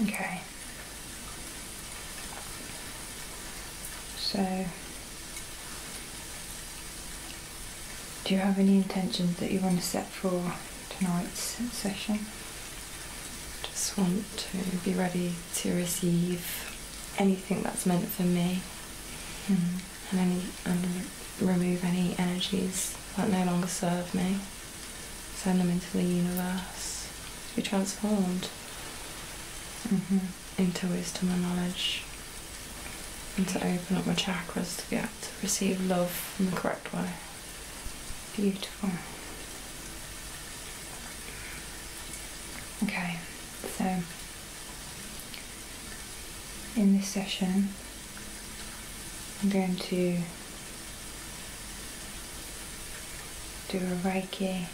Okay. So, do you have any intentions that you want to set for tonight's session? Just want to be ready to receive anything that's meant for me. Hmm and, any, and remove any energies that no longer serve me. Send them into the universe to be transformed mm-hmm. into wisdom and knowledge and to open up my chakras to be to receive love in the correct way. Beautiful. Okay, so in this session, I'm going to do a Reiki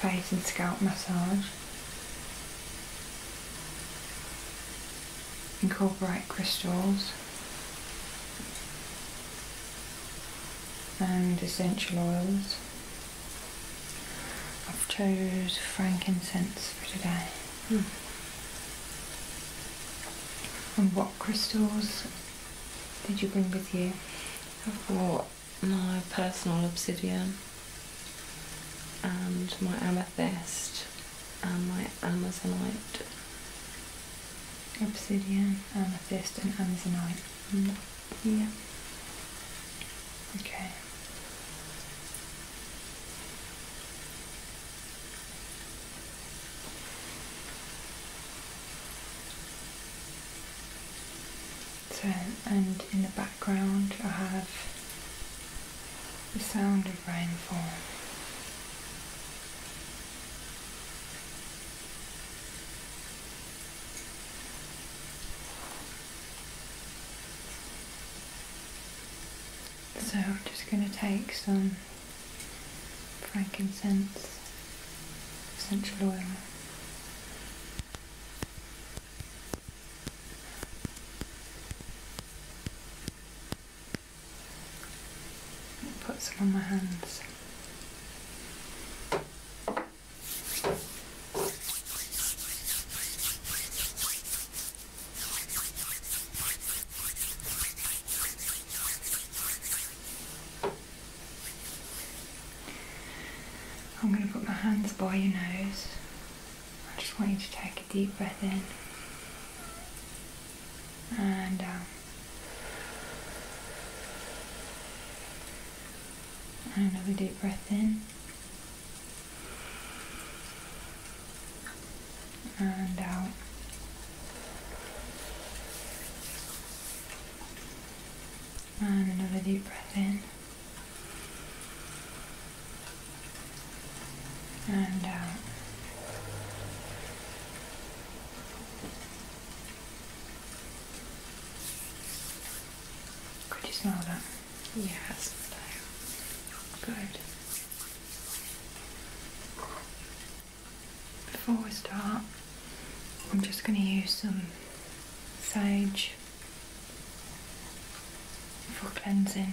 face and scalp massage. Incorporate crystals and essential oils. I've chose frankincense for today. Hmm. And what crystals did you bring with you? I brought my personal obsidian and my amethyst and my amazonite. Obsidian, amethyst, and amazonite. Hmm. Yeah. Okay. So, and in the background I have the sound of rainfall. So I'm just going to take some frankincense, essential oil. Put some on my hands. I'm going to put my hands by your nose. I just want you to take a deep breath in and um, Another deep breath in and out. And another deep breath in. And out. Could you smell that? Yes, good. Before we start, I'm just going to use some sage for cleansing.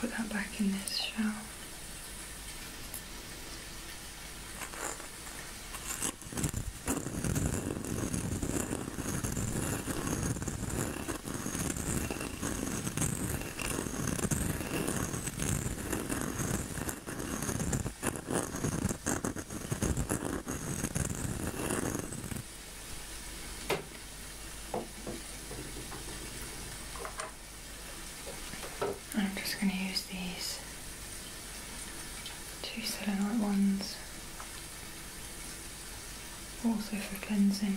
Put that back in this shell. I'm just going to use these two selenite ones also for cleansing.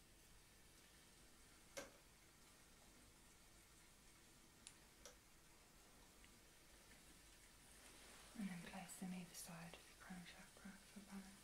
And then place them either side of the crown chakra for balance.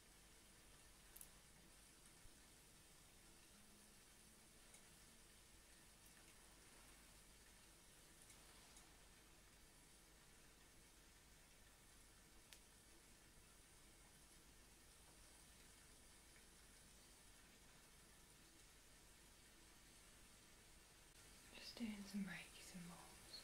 Just doing some Reiki symbols.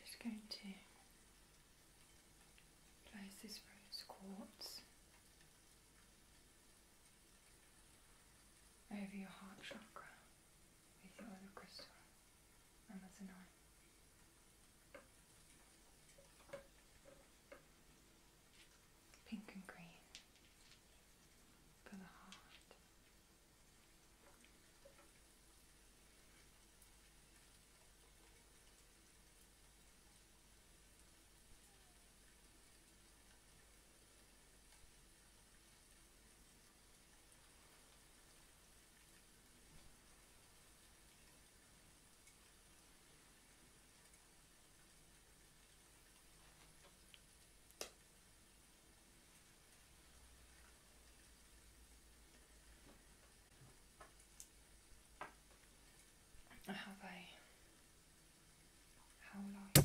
Just going to place this rose quartz over your heart chakra with your other crystal, and that's a 9. Pink and green for the heart. I have how long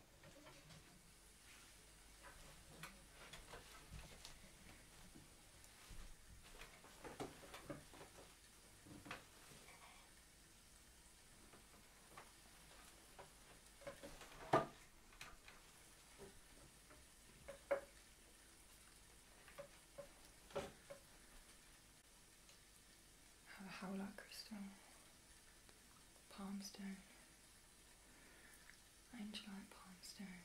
howler crystal, palm stone, Angela at Palmstone.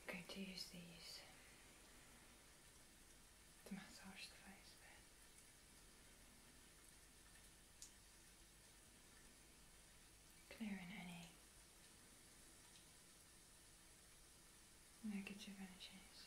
I'm going to use these to massage the face Clearing any negative energies.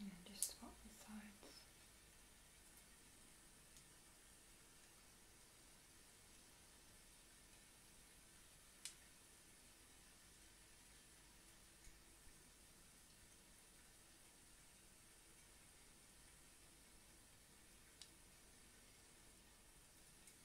And just swap the sides.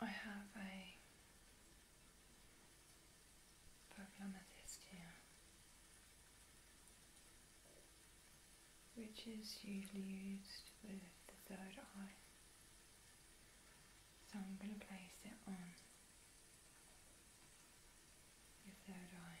I have a purple here, which is usually used with the third eye. So I'm going to place it on if third die.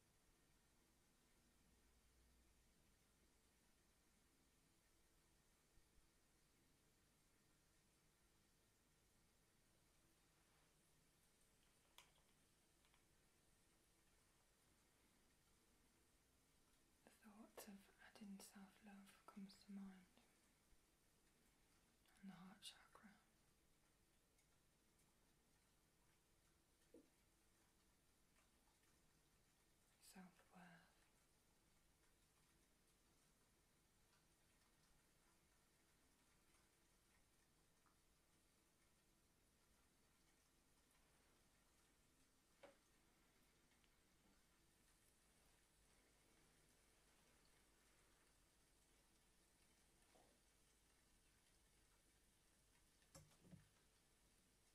The thought of adding self love comes to mind on the heart chakra self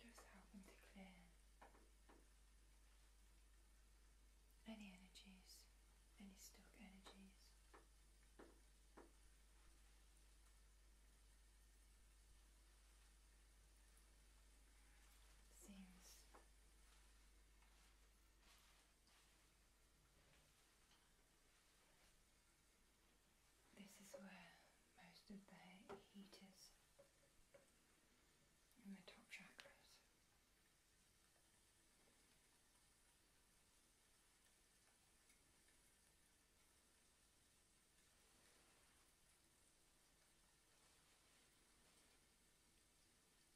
Just helping to clear any energies, any stuck energies. Seems this is where most of the heat is in the top chakras.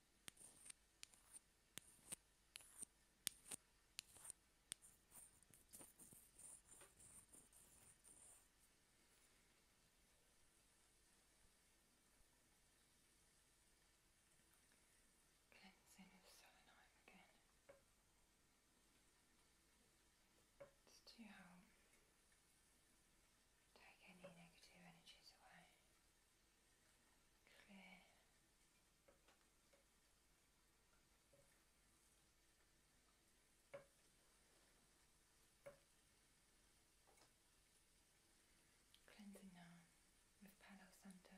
Cleansing of selenium again. Just to help take any negative energies away clear. Cleansing now with Palo Santo.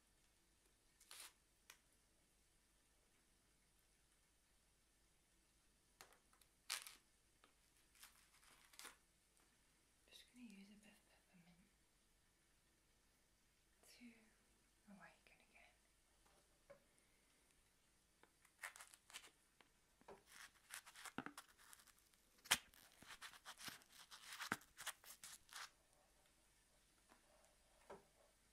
just going to use a bit peppermint to awaken again.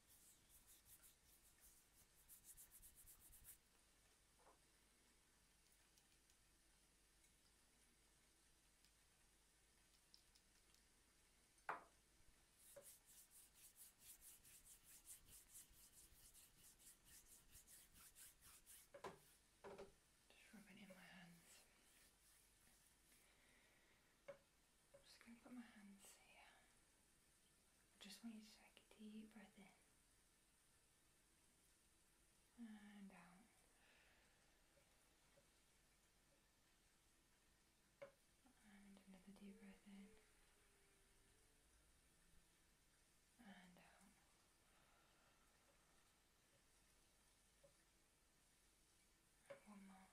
Just rub it in my hands. I'm just going to put my hands here. I just want you to take a deep breath in and out. And another deep breath in. And out. one more.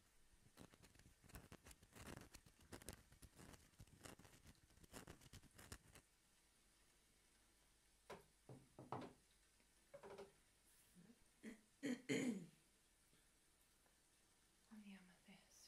on the amethyst.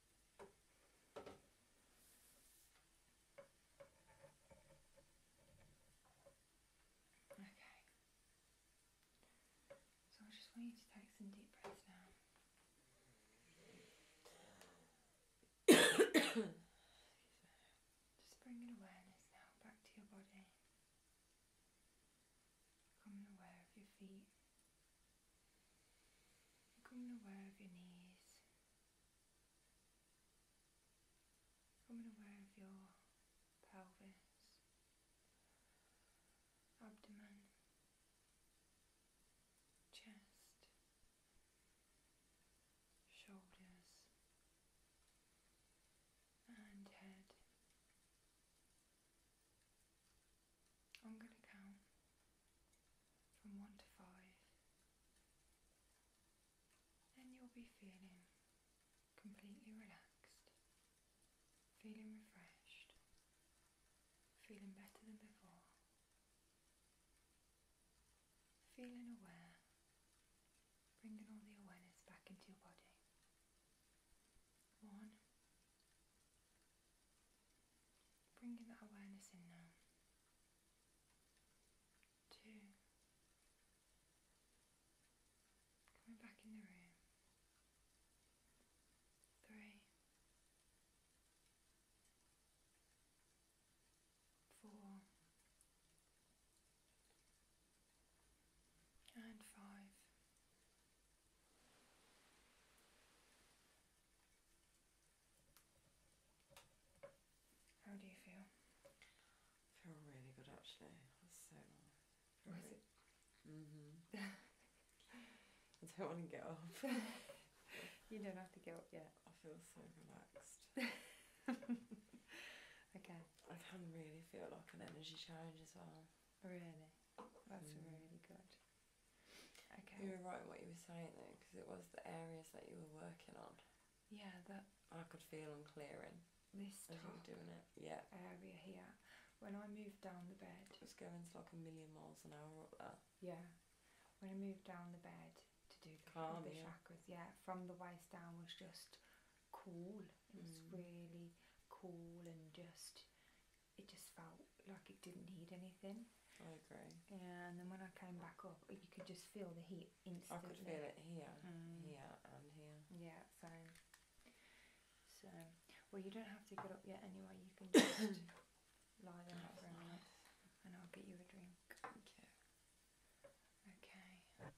So I just want you to take some deep breaths now. just bringing awareness now back to your body. Becoming aware of your feet, Becoming aware of your knees. Becoming aware of your pelvis, abdomen, chest, shoulders and head. I'm going to count from 1 to 5 and you'll be feeling completely relaxed, feeling refreshed, feeling better than before, feeling aware, bringing all the awareness back into your body. One, Bringing that awareness in now. Two. Coming back in the room. Three. Four. And five. How do you feel? I feel really good actually. so nice. Was it? hmm I don't want to get up. you don't have to get up yet. I feel so relaxed. okay. I can really feel like an energy change as well. Really? That's mm. really good. You were right what you were saying though, because it was the areas that you were working on. Yeah, that. I could feel them clearing. This as doing it. Yeah. Area here. When I moved down the bed. It was going to like a million miles an hour up there. Yeah. When I moved down the bed to do the, chakras, yeah, from the waist down was just cool. It was mm. really cool and just it just felt like it didn't need anything. I agree. And then when I came back up, you could just feel the heat instantly. I could feel it here, yeah, mm. and here. Yeah, same. So, well, you don't have to get up yet anyway. You can just lie there for a minute, and I'll get you a drink. Okay.